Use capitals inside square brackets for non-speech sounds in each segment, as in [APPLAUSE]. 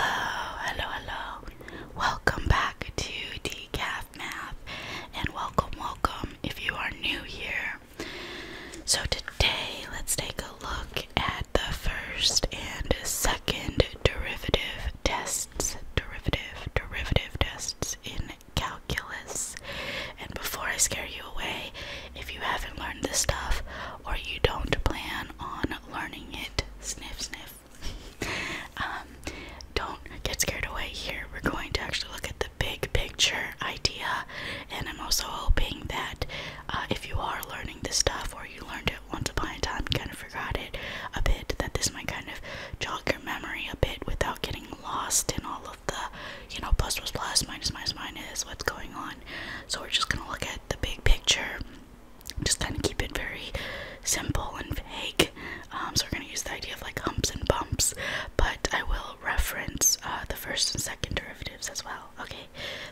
hello, hello. Welcome back to Decaf Math, and welcome, welcome if you are new here. So, today let's take a look at the first and second derivative tests, derivative, derivative tests in calculus. And before I scare you away, if you haven't learned this stuff or you don't plan on learning it, sniff, sniff. [LAUGHS] Um, don't get scared away here. We're going to actually look at the big picture idea, and I'm also hoping that uh, if you are learning this stuff or you learned it once upon a time, kind of forgot it a bit, that this might kind of jog your memory a bit without getting lost in all of the, you know, plus plus plus, minus minus minus, what's going on. So we're just gonna look at the big picture just kind of keep it very simple and vague. Um, so we're going to use the idea of like humps and bumps, but I will reference uh, the first and second derivatives as well, okay?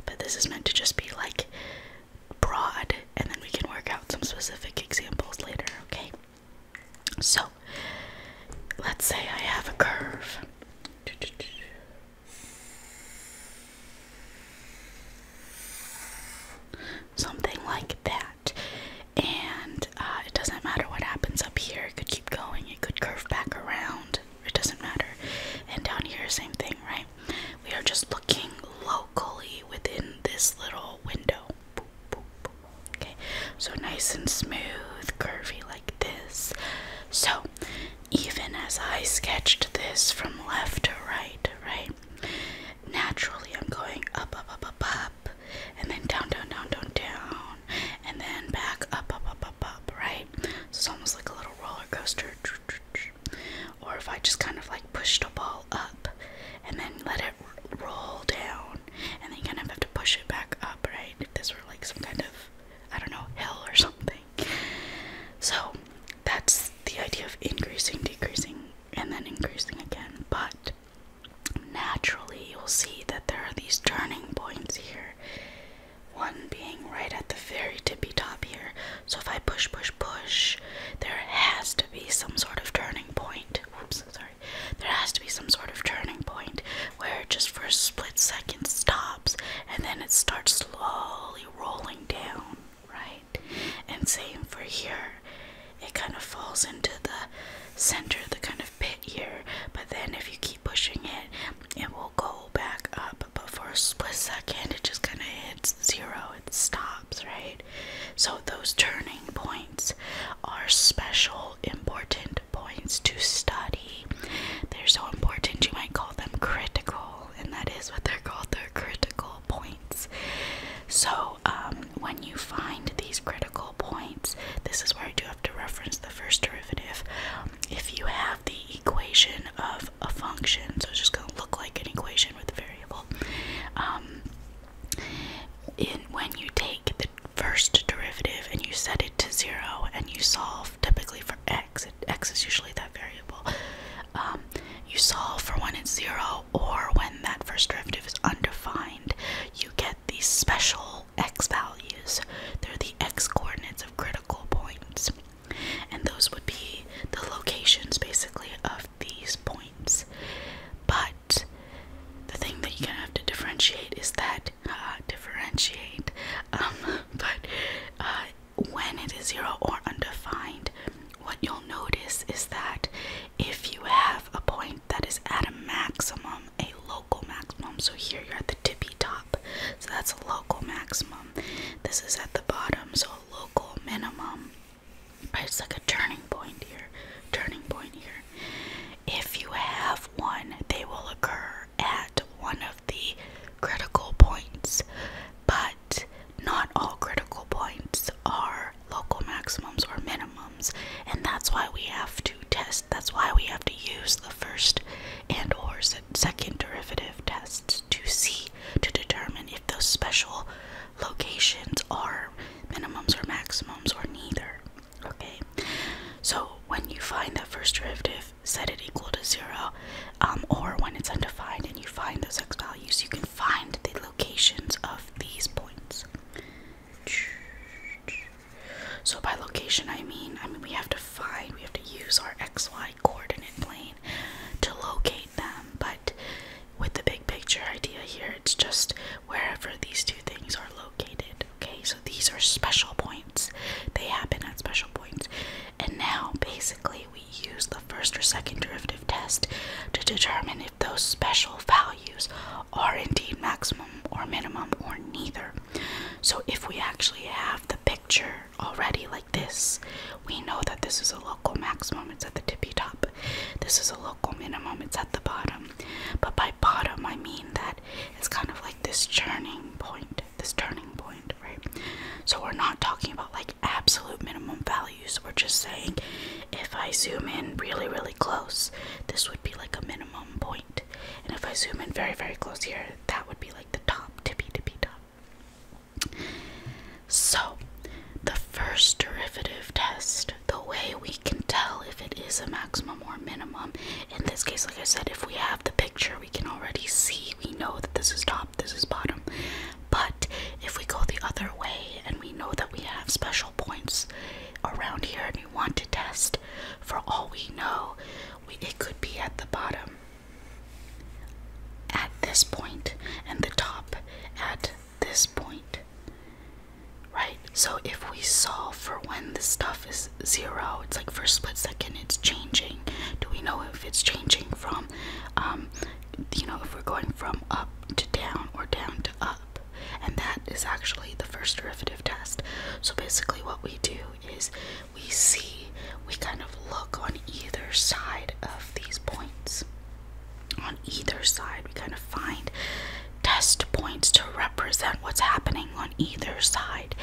But this is meant to just be like broad, and then we can work out some specific examples later, okay? So let's say I have a curve. Something like that. And uh, it doesn't matter what happens up here, it could keep going, it could curve back around, it doesn't matter. And down here, same thing, right? We are just looking locally within this little window. Okay, so nice and smooth, curvy like this. So, even as I sketched this from left to right, right? Naturally, I'm going up, up, up, up, up, and then down, down, down, down, down, and then back up, up, up, up, up, right? So it's almost like a little roller coaster. Or if I just kind of like pushed a ball up and then let it roll down, and then kind of have to push it back up, right? If this were like some kind of, I don't know, hill or something. So that's the idea of increasing, decreasing, and then increasing again. But naturally, you'll see that there are these turning points here. One being right at the very tippy top here. So if I push, push, push, there has to be some sort of turning point. Oops, sorry. There has to be some sort of turning point where it just for a split second stops and then it starts slowly rolling down, right? And same for here. It kind of falls into the center, the kind of pit here, but then if you keep pushing it, it will go back up. But for a split second, it just kind of hits zero, it stops, right? So those turning points are special, important points to study. They're so important, you might call them critical, and that is what they're called. They're critical points. So, um, when you find these critical points, this is where I do have to reference the first derivative. Um, if you have the equation of a function, so it's just going to look like an equation with a variable. Um, in, when you take the first derivative and you set it to zero and you solve typically for x, x is usually that variable, um, you solve for when it's zero or when that first derivative is undefined, you get these special x values. They're the x coordinates of critical points. And those would be the locations basically of these points. But the thing that you're gonna have to differentiate is that uh, differentiate, um, [LAUGHS] but uh, when it is zero or undefined, what you'll notice is that if you have a point that is at a maximum, a local maximum, so here you're at the tippy top, so that's a local maximum. This is at the bottom, so a local minimum. it's like a turning point here, turning point here. If you have one, they will occur at one of the critical points, but not all critical points are local maximums or minimums, and that's why we have to test. That's why we have to use the first and or second derivative tests to see to determine if those special locations are minimums or maximums or neither. Okay. So when you find that first derivative, set it equal to zero, um, or when it's undefined and you find those x values, you can find the locations of these points. So by location, I mean, I mean we have to find, we have to use our xy coordinate plane to locate them. But with the big picture idea here, it's just wherever these two things are located. Okay, so these are special points. They happen at special points. And now, basically, we use the first or second derivative test to determine if those special values are indeed maximum or minimum or neither. So, if we actually have the picture already like this, we know that this is a local maximum, it's at the tippy top. This is a local minimum, it's at the bottom. But by bottom, I mean that it's kind of like this churning point this turning point, right? So we're not talking about like absolute minimum values. We're just saying if I zoom in really, really close, this would be like a minimum point. And if I zoom in very, very close here, that would be like the top, tippy, tippy top. So the first derivative test, the way we can tell if it is a maximum or minimum, in this case, like I said, if we have the picture, we can already see, we know that this is top this is bottom. But if we go the other way and we know that we have special points around here and we want to test, for all we know, it could be at the bottom at this point and the top at this point. Right? So if we solve for when the stuff is zero, it's like for a split second it's changing. Do we know if it's changing from um, you know if we're going from up to down or down to up and that is actually the first derivative test so basically what we do is we see we kind of look on either side of these points on either side we kind of find test points to represent what's happening on either side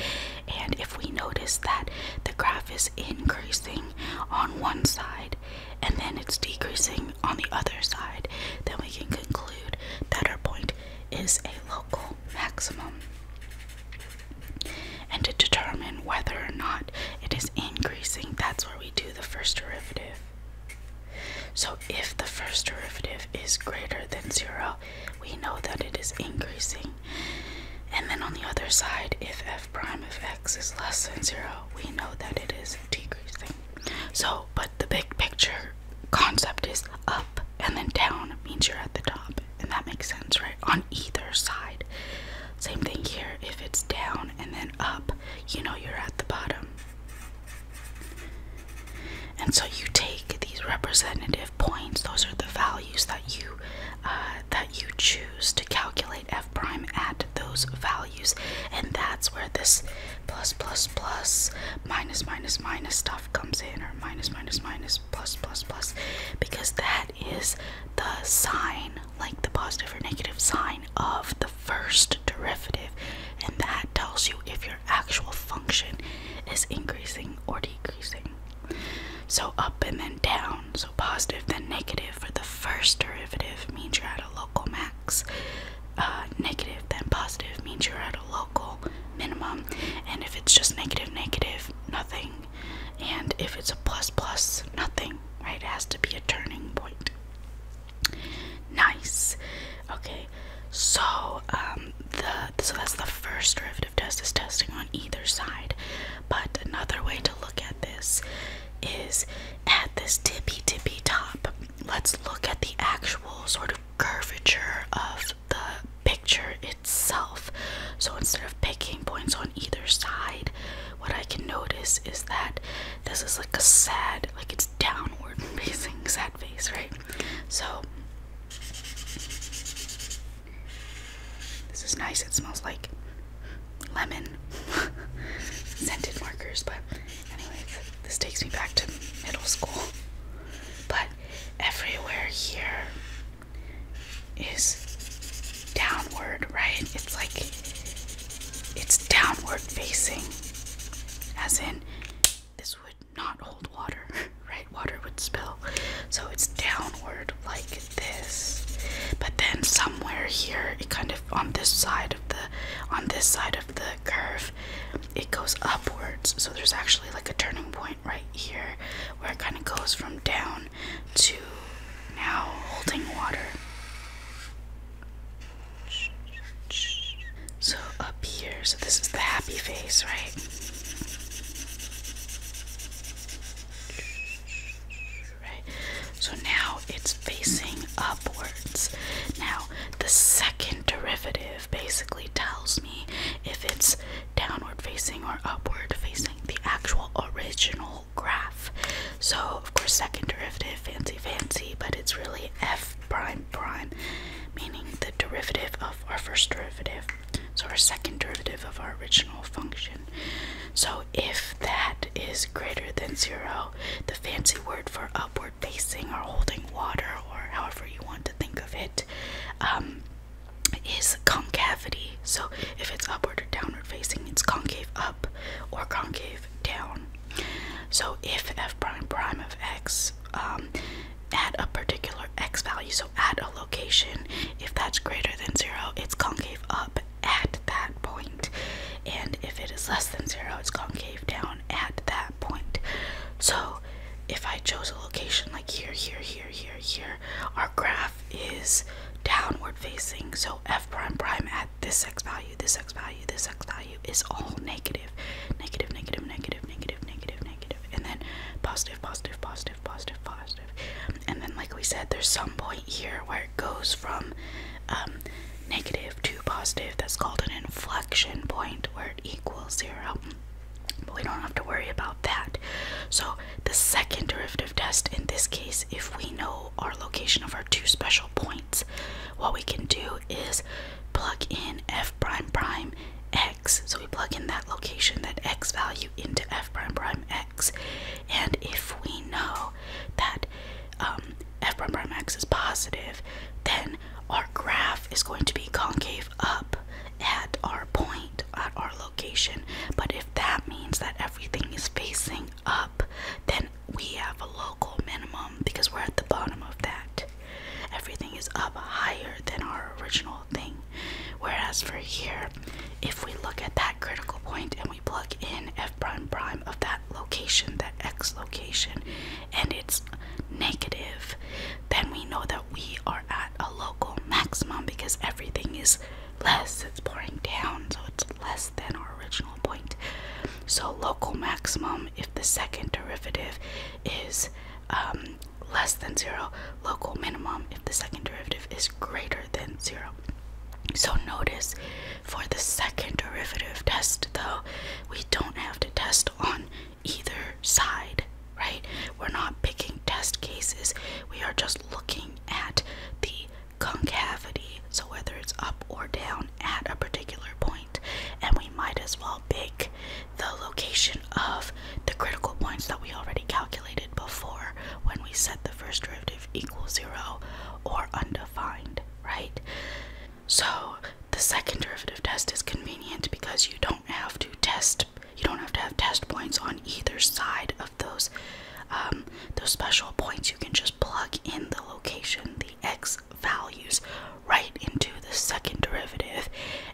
and if we notice that the graph is increasing on one side and then it's decreasing on the other side, then we can conclude that our point is a local maximum. And to determine whether or not it is increasing, that's where we do the first derivative. So if the first derivative is greater than zero, we know that it is increasing. And then on the other side, if f prime of x is less than 0, we know that it is decreasing. So, but the big picture concept is up and then down means you're at the top. And that makes sense, right? On either side. Same thing here. If it's down and then up, you know you're at the bottom. And so you take these representative points; those are the values that you uh, that you choose to calculate f prime at those values and that's where this plus plus plus minus minus minus stuff comes in or minus minus minus plus plus plus because that is the sign like the positive or negative sign of the first derivative and that tells you if your actual function is increasing or decreasing so up and then down, so positive then negative for the first derivative means you're at a local max. Uh, negative then positive means you're at a local minimum. And if it's just negative, negative, nothing. And if it's a plus, plus, nothing, right? It has to be a turning point. Nice. Okay, so um, the so that's the first derivative test is testing on either side. But another way to look at this is at this tippy tippy top. Let's look at the actual sort of curvature of the picture itself. So instead of picking points on either side, what I can notice is that this is like a sad, like it's downward [LAUGHS] facing sad face, right? So this is nice. It smells like lemon [LAUGHS] scented markers. But anyway, this takes me back to middle school. But everywhere here is downward, right? It's like it's downward facing, as in this would not hold water, [LAUGHS] right? Water would spill. So it's downward, like this. But then somewhere here, it kind of on this side of the on this side of the curve, it goes upwards. So there's actually like a turning point right here where it kind of goes from down to now holding water. So up here, so this is the happy face, right? So now it's facing upwards. Now, the second derivative basically tells me if it's downward facing or upward facing, the actual original graph. So, of course, second derivative, fancy, fancy, but it's really f prime prime, meaning the derivative of our first derivative. So our second derivative of our original function. So if that is greater than zero, the fancy word for upward facing or holding water or however you want to think of it um, is concavity. So if it's upward or downward facing, it's concave up or concave down. So if f prime prime of x um, at a particular x value, at a location, if that's greater than zero, it's concave up at that And if it is less than zero, it's concave down at that point. So if I chose a location like here, here, here, here, here, our graph is downward facing. So f prime prime at this x value, this x value, this x value is all And then positive, positive, positive. And then, like we said, there's some point here where it goes from um, negative to positive. That's called an inflection point where it equals zero. we don't have to worry about that. So, the second derivative test in this case, if we know our location of our two special points, what we can do is plug in f prime prime x. So, we plug in that location, that x value, into f prime prime x. And if we know that um, f prime prime x is positive, then our graph is going to be concave up at our point, at our location. But if that means that everything is facing up, then we have a local minimum because we're at the bottom of that. Everything is up higher than our original Whereas for here, if we look at that critical point and we plug in f prime prime of that location, that x location, and it's negative, then we know that we are at a local maximum because everything is less, it's pouring down, so it's less than our original point. So, local maximum, if the second derivative is um, less than zero, local minimum the second derivative is greater than 0. So notice for the second derivative test though, we don't have to test on either side, right? We're not picking test cases. We are just looking at the concavity, so whether it's up or down at a particular point, and we might as well pick the location of the critical points that we already calculated before when we set the first derivative equal zero or undefined, right? So the second derivative test is convenient because you don't have to test you don't have to have test points on either side of those um, those special points you can just plug in the location the x values right into the second derivative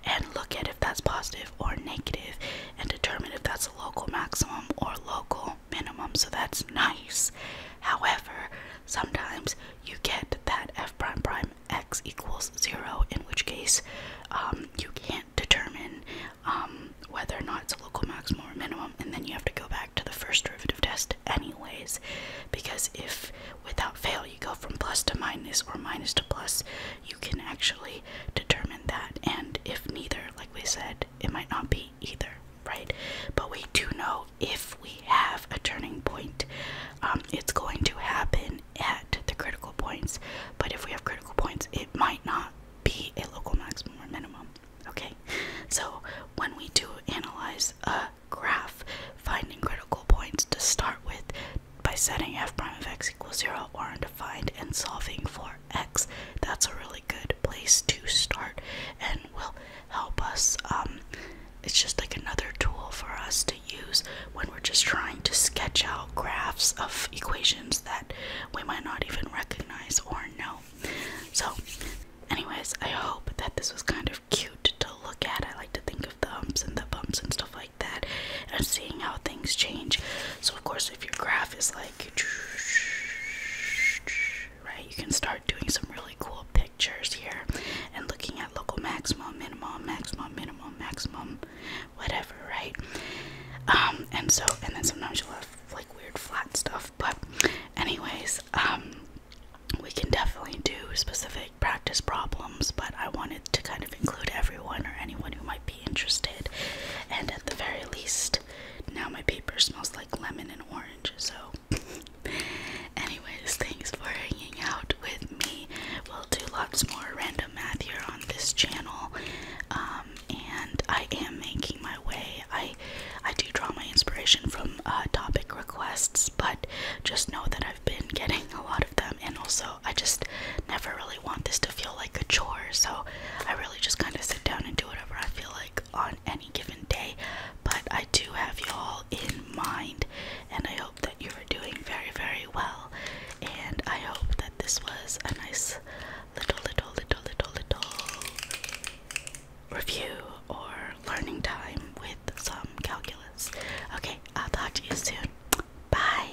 and look at if that's positive or negative and determine if that's local maximum or local minimum, so that's nice. However, sometimes you get that f prime prime x equals zero, in which case um, you can't determine um, whether or not it's a local maximum or minimum, and then you have to go back to the first derivative test, anyways, because if without fail you go from plus to minus or minus to plus, you can actually determine that. And if neither, like we said, it might not be either, right? But we do know if we have a turning point, um, it's going to happen at the critical points. But if we have critical points, it might not be a local maximum or minimum. Okay, so when we do analyze a graph, finding critical points to start with by setting f prime of x equals 0 or undefined and solving for X, that's a really good place to start and will help us. Um, it's just like another tool for us to use when we're just trying to sketch out graphs of equations that we might not even recognize or know. So, anyways, I hope that this was kind of cute to look at. I like to think of the humps and the bumps and stuff like that and seeing how things change. So, of course, if your graph is like right, you can start doing some really cool pictures here and looking at local maximum, minimum, maximum, minimum, maximum, whatever, right? Um, and so, and then sometimes you'll have like weird flat stuff, but, anyways, um, we can definitely do specific practice problems, but I wanted to kind of include everyone or anyone who might be interested. And at the very least, now my paper smells like lemon and orange. So, [LAUGHS] anyways, thanks for hanging out with me. We'll do lots more random math here on this channel. Um, and I am making my way. I I do draw my inspiration from uh, topic requests, but just know that I've been getting a lot of them, and also I just never really want this to feel like a chore. So I really just kind of sit down and do whatever I feel like on any given day. But I do have you all in mind, and I hope that you are doing very, very well. And I hope that this was a nice little, little, little, little, little review or learning time with some calculus. Okay, I'll talk to you soon. Bye.